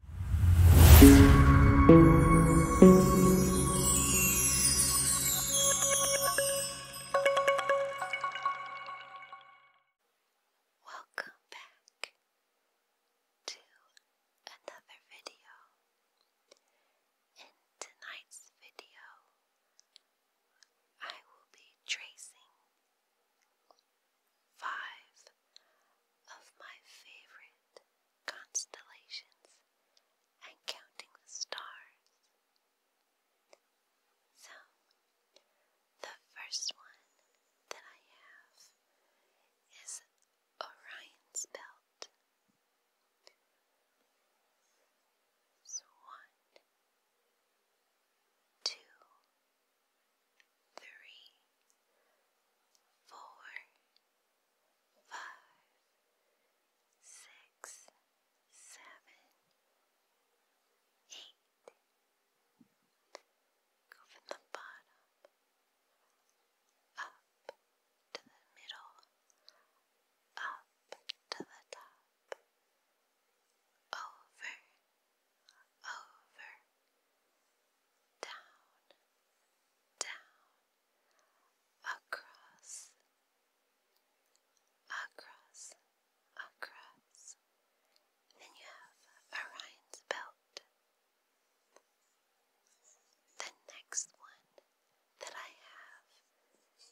Welcome back to another video. In tonight's video, I will be tracing Five of my favorite constellations and counting the stars. So, the first one that I have is Orion's Belt. one, two, three, four, five, six, seven, eight. Go from the bottom up to the middle, up to the top, over over, down, down, across, across, across. Then you have Orion's belt. The next one that I have is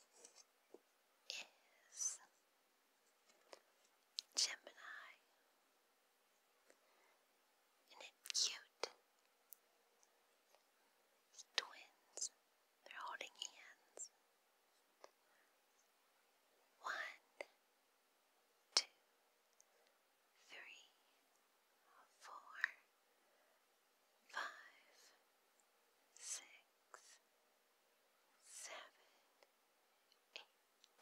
Gemini. Isn't it cute? twins. They're holding hands. One, two, three, four, five, six, seven, eight nine,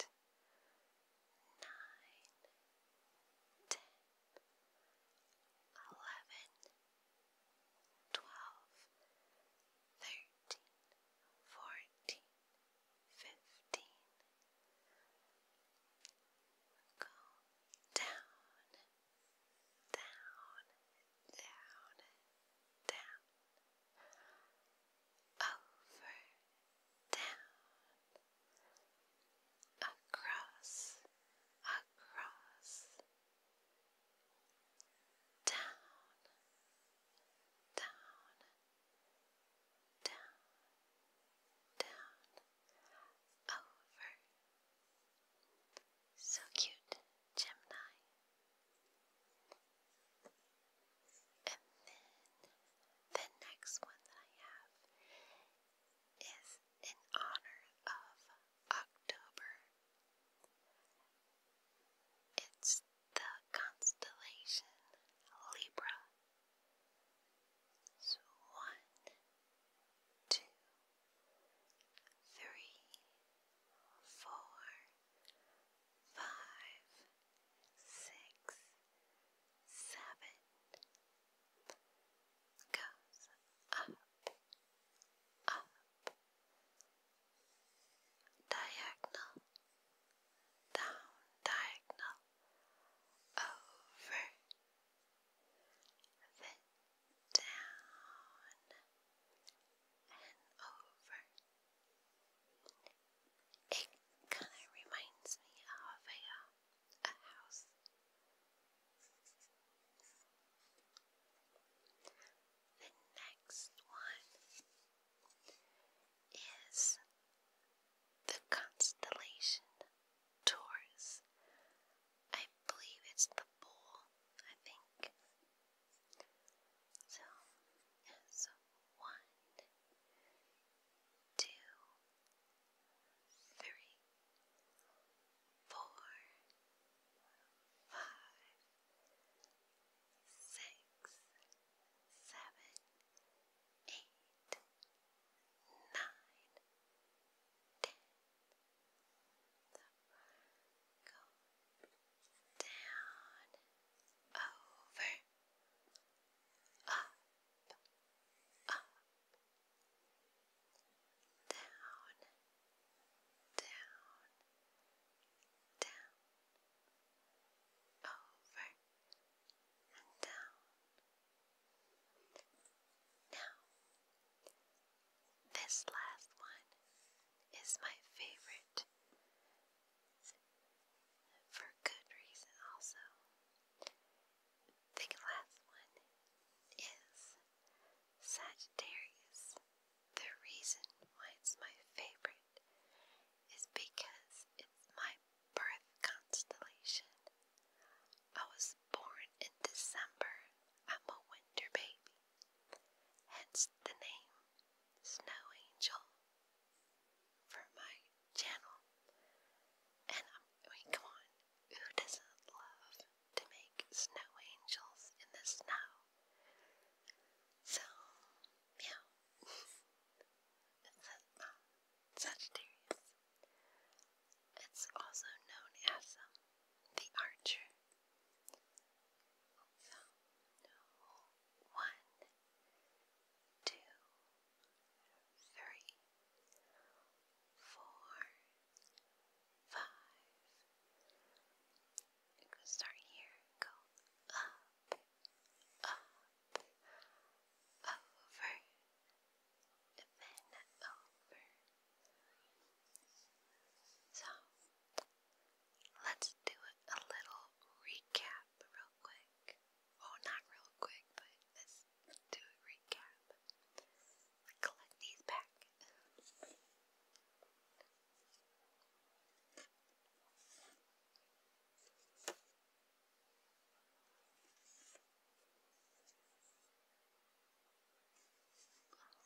ten, eleven, twelve, thirteen, fourteen, fifteen. Go down, down, down, down over, down, across, across, down, down, down, down, over. So cute, Gemini. And then the next one that I have is in honor of October. It's the constellation Libra. So one, two, three, four, five, six, seven goes up, up, diagonal, down, diagonal, over, then down and over. It kind of reminds me of a, uh, a house. The next one is the constellation Taurus. I believe it's the bull, I think. So, so one, two, three, four, five, six, seven, eight, nine, ten. Go down, over, up, up, down, down, down, over and down. Now, this last one is my favorite for good reason also. The last one is Sagittarius. The reason why it's my favorite is because it's my birth constellation. I was born in December. I'm a winter baby. Hence the name Snow Angel for my channel. And come on, who doesn't love to make snow angels in the snow? So, yeah, it's a, It's also known as um, the Archer. So, one two, three, four, five. You can start here, go up, up, over, and then over. So let's do a little recap recap real quick. Well, not real quick, but let's do a recap. Collect these back.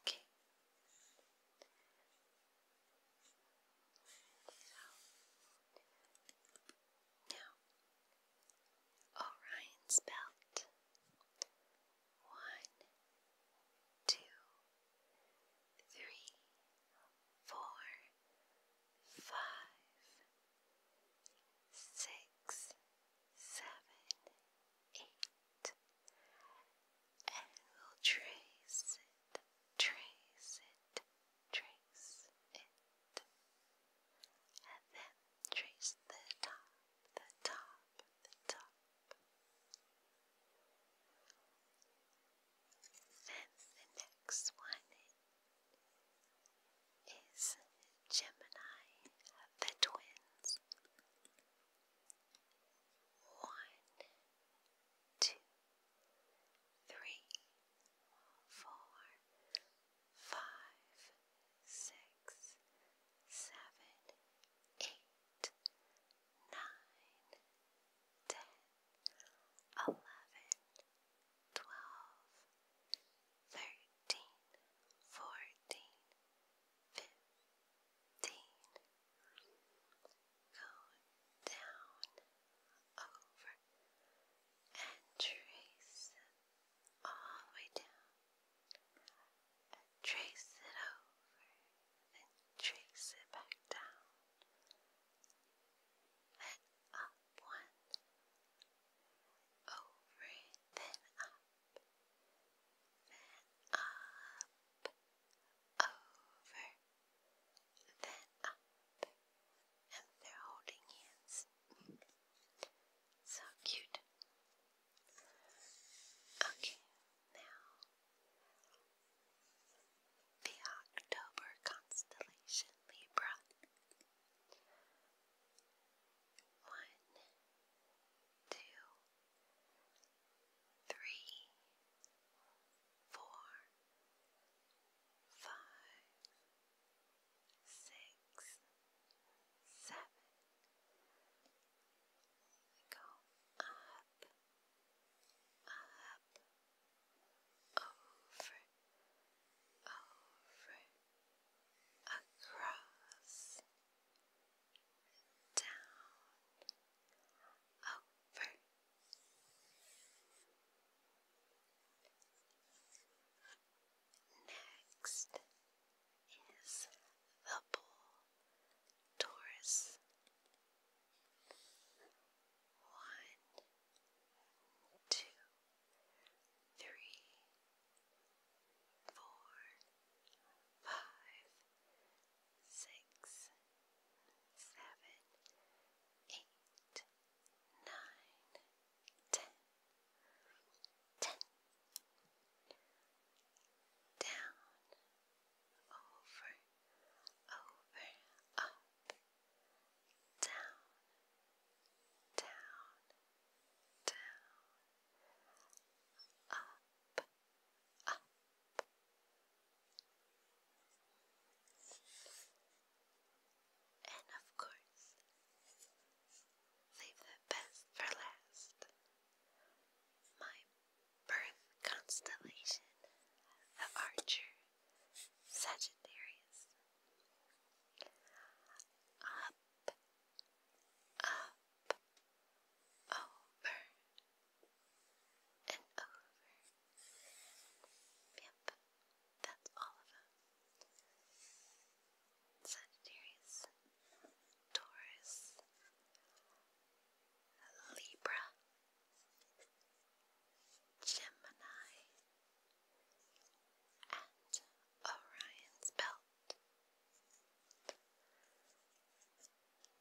Okay. So, now, Orion's belt. One, two, three, four, five, six, seven, eight, and we'll trace it, trace it, trace it, and then trace the top, the top, the top. Then the next one is Gemini, the twins. One, two, three, four, five, six, seven, eight, nine, ten, eleven, twelve, thirteen, fourteen, fifteen. 16, Go down over and trace all the way down. trace it over and trace it back down. Then up one, over then up, then up, over, then up, and they're holding hands. so cute. Okay, now the October constellation Libra. One, two, three, four, five, six, seven. Go up, up, over, over, across, down, over, Next is the bull Taurus. One, two, three, four, five, six, seven, eight, nine, ten, ten, down, over, over, up, down, down, down, up, and of course, save the best for last. My birth constellation, the Archer Sagittarius. Up, up, over, and over. Yep, that's all of them. Sagittarius, Taurus, Libra, Gemini, and Orion's belt.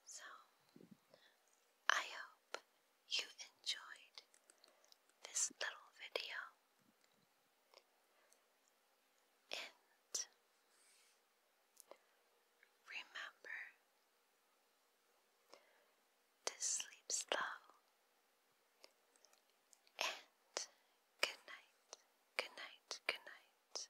So, I hope you enjoyed this little video. And remember to sleep slow. And good night, good night, good night.